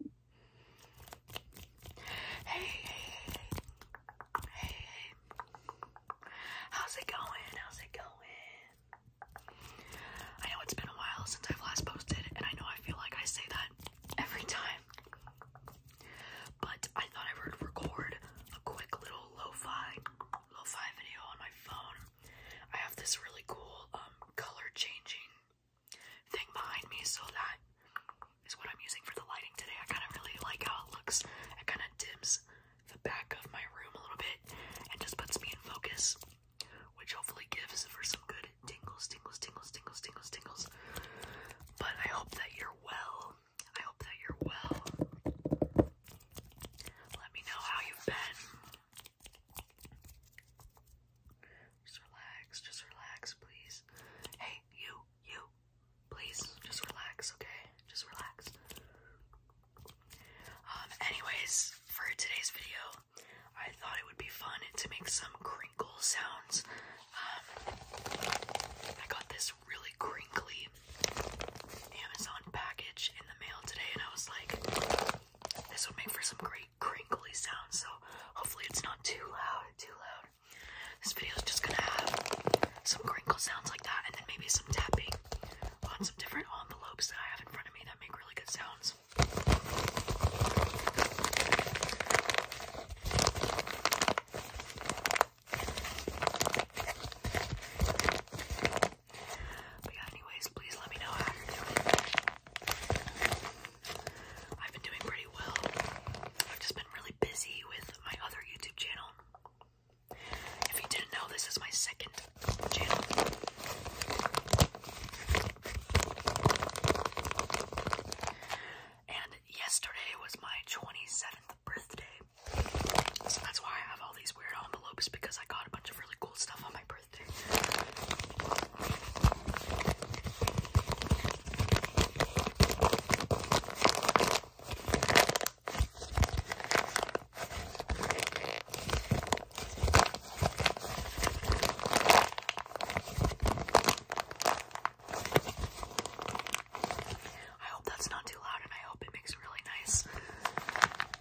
Hey, hey, hey, hey, how's it going? How's it going? I know it's been a while since I've last posted, and I know I feel like I say that every time, but I thought I would record a quick little lo-fi, video on my phone. I have this really cool um, color changing thing behind me, so that is what I'm using for the lighting today. I kind of really like how it looks. It kind of dims the back of my room a little bit and just puts me in focus, which hopefully gives for some good tingles, tingles, tingles, tingles, tingles, tingles. But I hope that you're well. I hope that you're well. Let me know how you've been. Just relax, just relax, please. Hey, you, you, please, just relax, okay? Just relax. Um, anyways, for today's video, I thought it would be fun to make some crinkle sounds. Um, I got this really crinkly Amazon package in the mail today, and I was like, this would make for some great crinkly sounds, so hopefully it's not too loud, too loud. This video is just gonna have some crinkle sounds like that, and then maybe some tapping on some different envelopes that I have in front of me that make really good sounds. But yeah, anyways, please let me know I've been doing pretty well. I've just been really busy with my other YouTube channel. If you didn't know, this is my second channel. And yesterday was my 27th birthday. So that's why I have all these weird envelopes because I got a bunch of really cool stuff on my birthday birthday. I hope that's not too loud and I hope it makes really nice,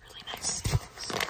really nice sounds.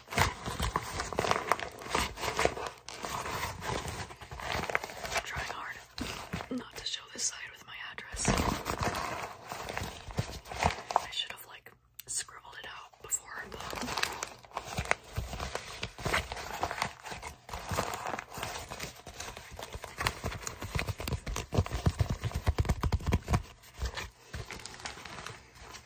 I'm trying hard not to show this side with my address. I should have like scribbled it out before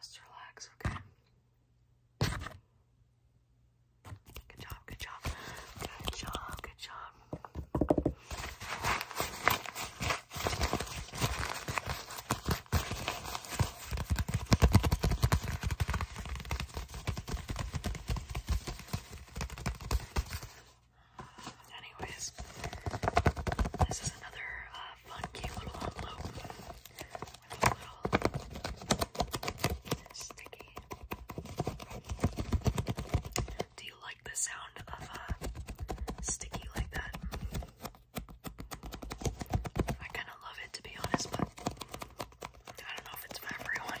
Just relax, okay? Good job, good job. Good job, good job. Anyways, this is another uh, funky little envelope sticky. Do you like the sound of a sticky like that? I kind of love it to be honest, but I don't know if it's for everyone.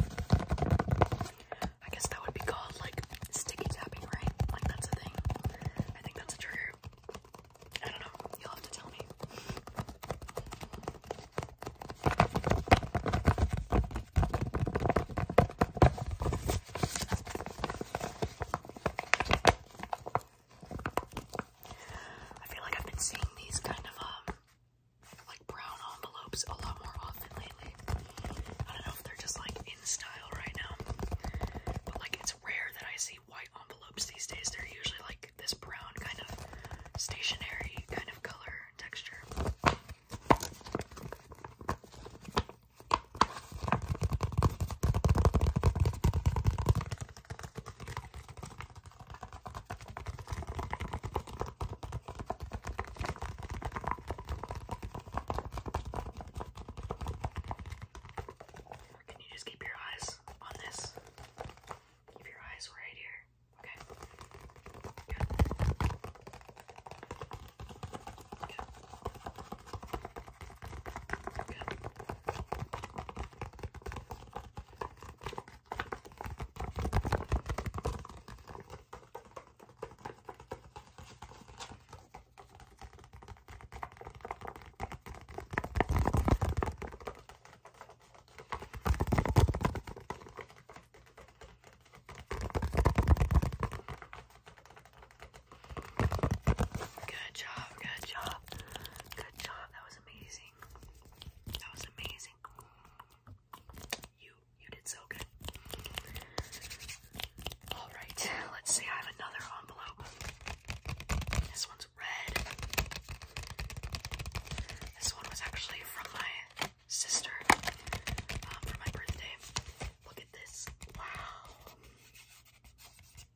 I guess that would be called like sticky tapping, right? Like that's a thing. I think that's a trigger. I don't know. You'll have to tell me. I feel like I've been seeing these kind of um like brown envelopes a lot more often lately. I don't know if they're just like in style right now, but like it's rare that I see white envelopes these days. They're usually like this brown kind of stationary kind of color and texture. Can you just keep your eyes on this? Keep your eyes right here. Okay. Good. Good. Good. Good. Good job, good job, good job. That was amazing. That was amazing. You you did so good. Alright, let's see. I have another envelope. This one's red. This one was actually from my sister um, for my birthday. Look at this. Wow.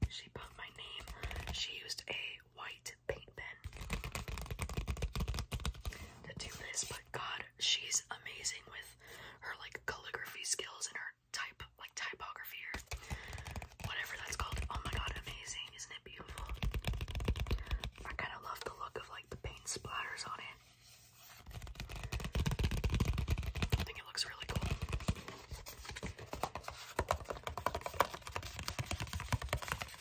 She put my name. She used a white paint pen to do this, God, she's amazing with her like calligraphy skills and her type like typography or whatever that's called. Oh my god, amazing. Isn't it beautiful? I kind of love the look of like the paint splatters on it. I think it looks really cool. That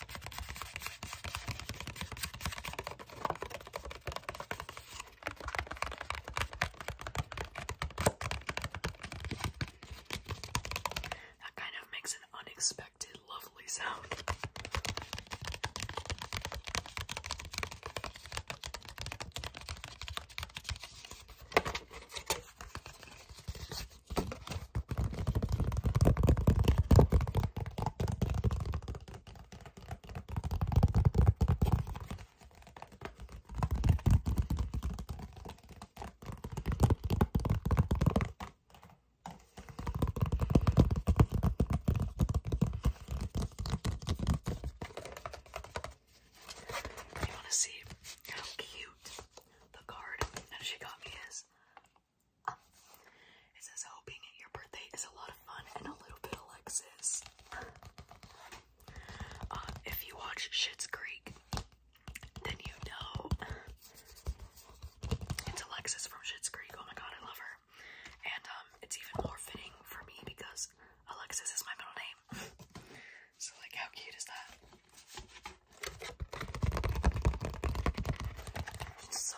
kind of makes an unexpected, lovely sound. You want to see how cute the card that she got me is? It says, hoping your birthday is a lot of fun and a little bit Alexis. Um, if you watch Schitt's Creek, then you know it's Alexis from Schitt's Creek. Oh my god, I love her. And um, it's even more fitting for me because Alexis is my middle name. so like, how cute is that? So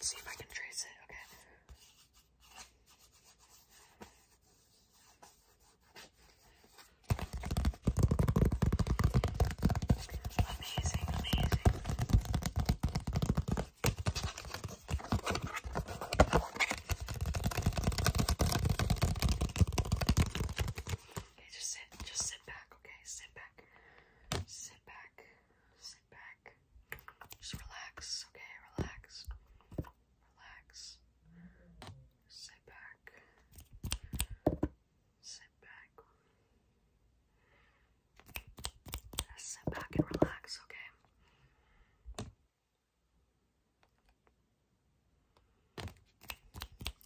Let's see if I can trace it. Okay amazing, amazing. Okay, just sit, just sit back, okay? Sit back, sit back, sit back. Just relax, okay? Relax, relax. Sit back sit back. Just sit back and relax, okay?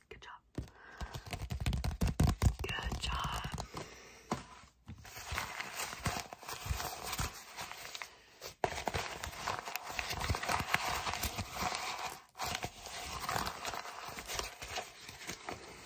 Good job. Good job.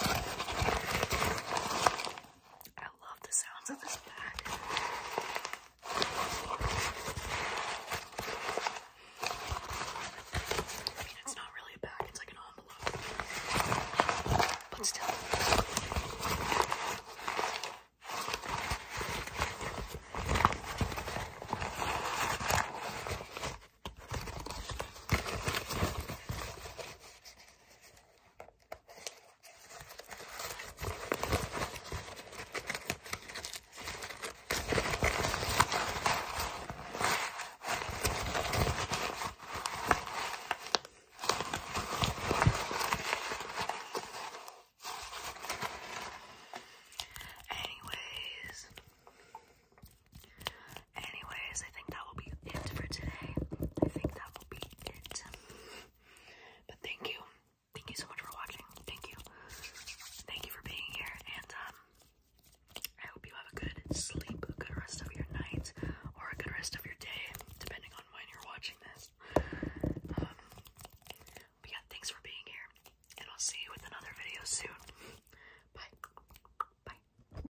I love the sounds of this bag. I mean, it's not really a bag, it's like an envelope. But still. Anyways, Anyways, I think that will be it for today. I think that will be it. But thank you. Thank you so much for watching. Thank you. Thank you for being here. And um, I hope you have a good sleep, a good rest of your night, or a good rest of your day, depending on when you're watching this. Um, but yeah, thanks for being here. And I'll see you with another video soon. Bye. Bye.